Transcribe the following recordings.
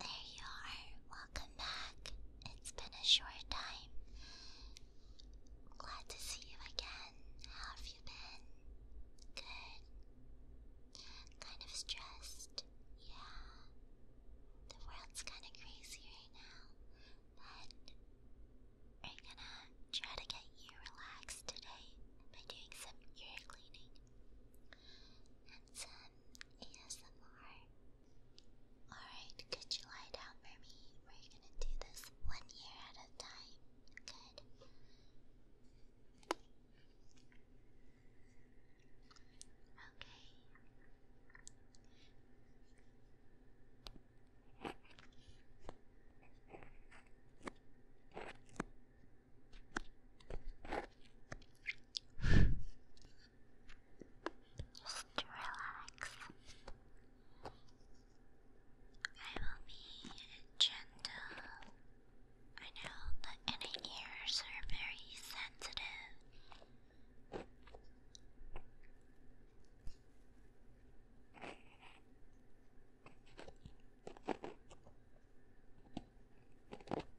There you are. Welcome back. It's been a short time. Glad to see you again. How have you been? Good. Kind of stressed. Yeah. The world's kind of crazy right now. But we're gonna try to get you relaxed today by doing some ear cleaning some ASMR? Alright, could you lie down for me? We're gonna do this one year at a time. Good. Okay. Just relax. I will be gentle. I know that inner ears are very sensitive.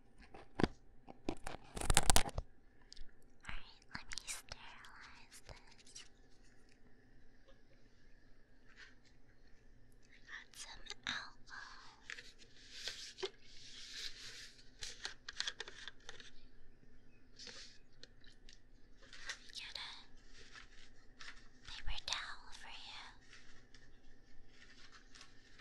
Alright, let me sterilize this. I some alcohol. Let me get a paper towel for you. Paper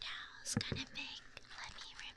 towel's kind of big. Let me rip.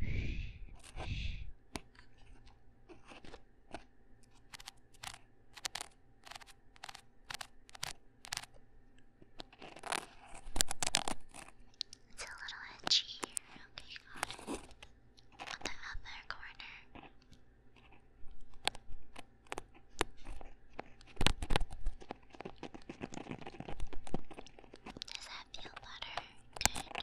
It's a little edgy here. Okay, On the other corner. Does that feel better? Good.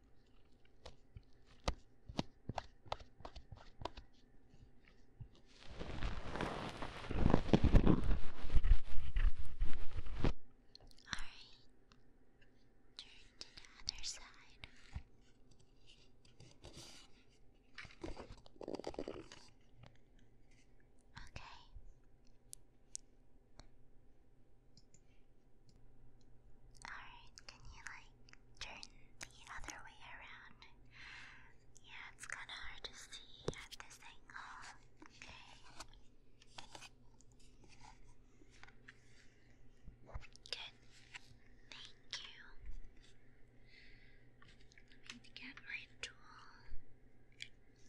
turn to the other side. Okay. Alright, can you like turn the other way around? Yeah, it's kinda hard to see at this angle. Okay. Good. Thank you. Let me get my tool.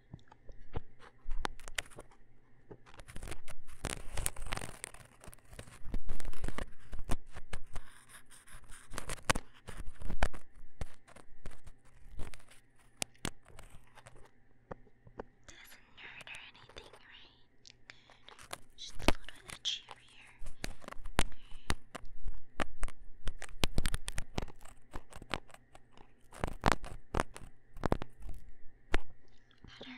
Doesn't hurt or anything, right? Just a little bit of Better. Good. Sorry.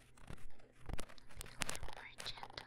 Be a little more gentle.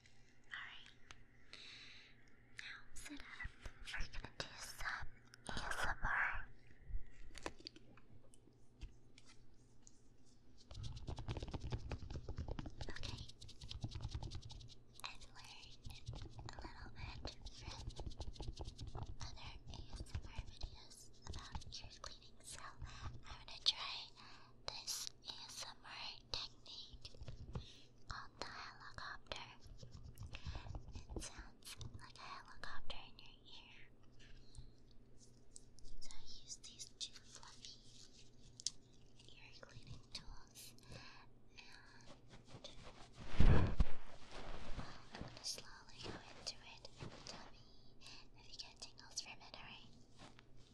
Alright. Now sit up. We're gonna do some ASMR. Okay. And learn a little bit from other ASMR videos about ear cleaning. So I'm gonna try this ASMR technique called the helicopter. It sounds like a helicopter in your ear. So I use these two fluffy ear cleaning tools and I'm gonna slowly go into it. Tell me if you get tingles from it, alright?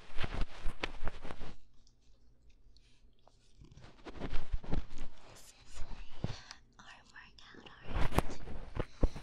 This is a arm workout, alright? Okay,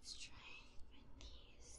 Let's try with these.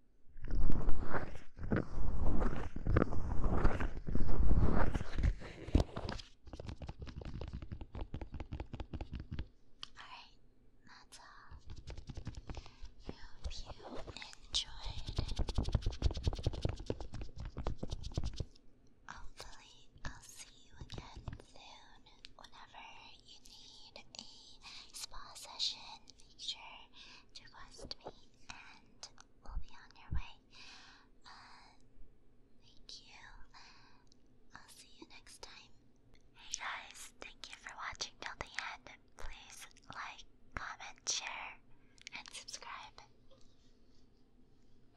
Alright, that's all. I hope you enjoyed Hopefully, I'll see you again soon. Whenever you need a spa session, make sure to request me and we'll be on your way. Uh, thank you. I'll see you next time. Hey guys, thank you for watching till the end. Please like, comment, share, and subscribe.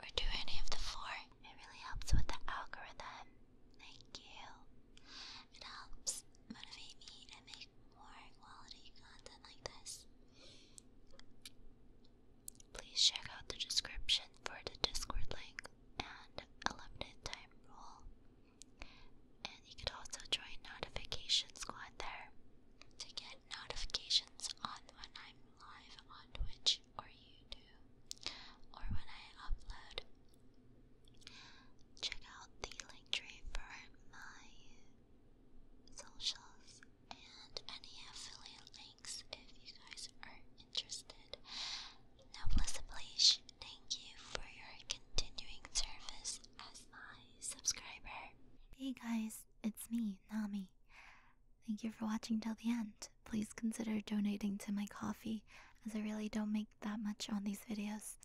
Or do any of the four. It really helps with the algorithm. Thank you. It helps motivate me to make more quality content like this. Please check out the description for the Discord link and a limited time rule. And you could also join Notification Squad there to get notifications on when I'm live on Twitch or YouTube or when I upload. Check out the link tree for my socials, and any affiliate links if you guys are interested. Now, please, thank you for your continuing service as my subscriber. Hey guys, it's me, Nami. Thank you for watching till the end. Please consider donating to my coffee, as I really don't make that much on these videos.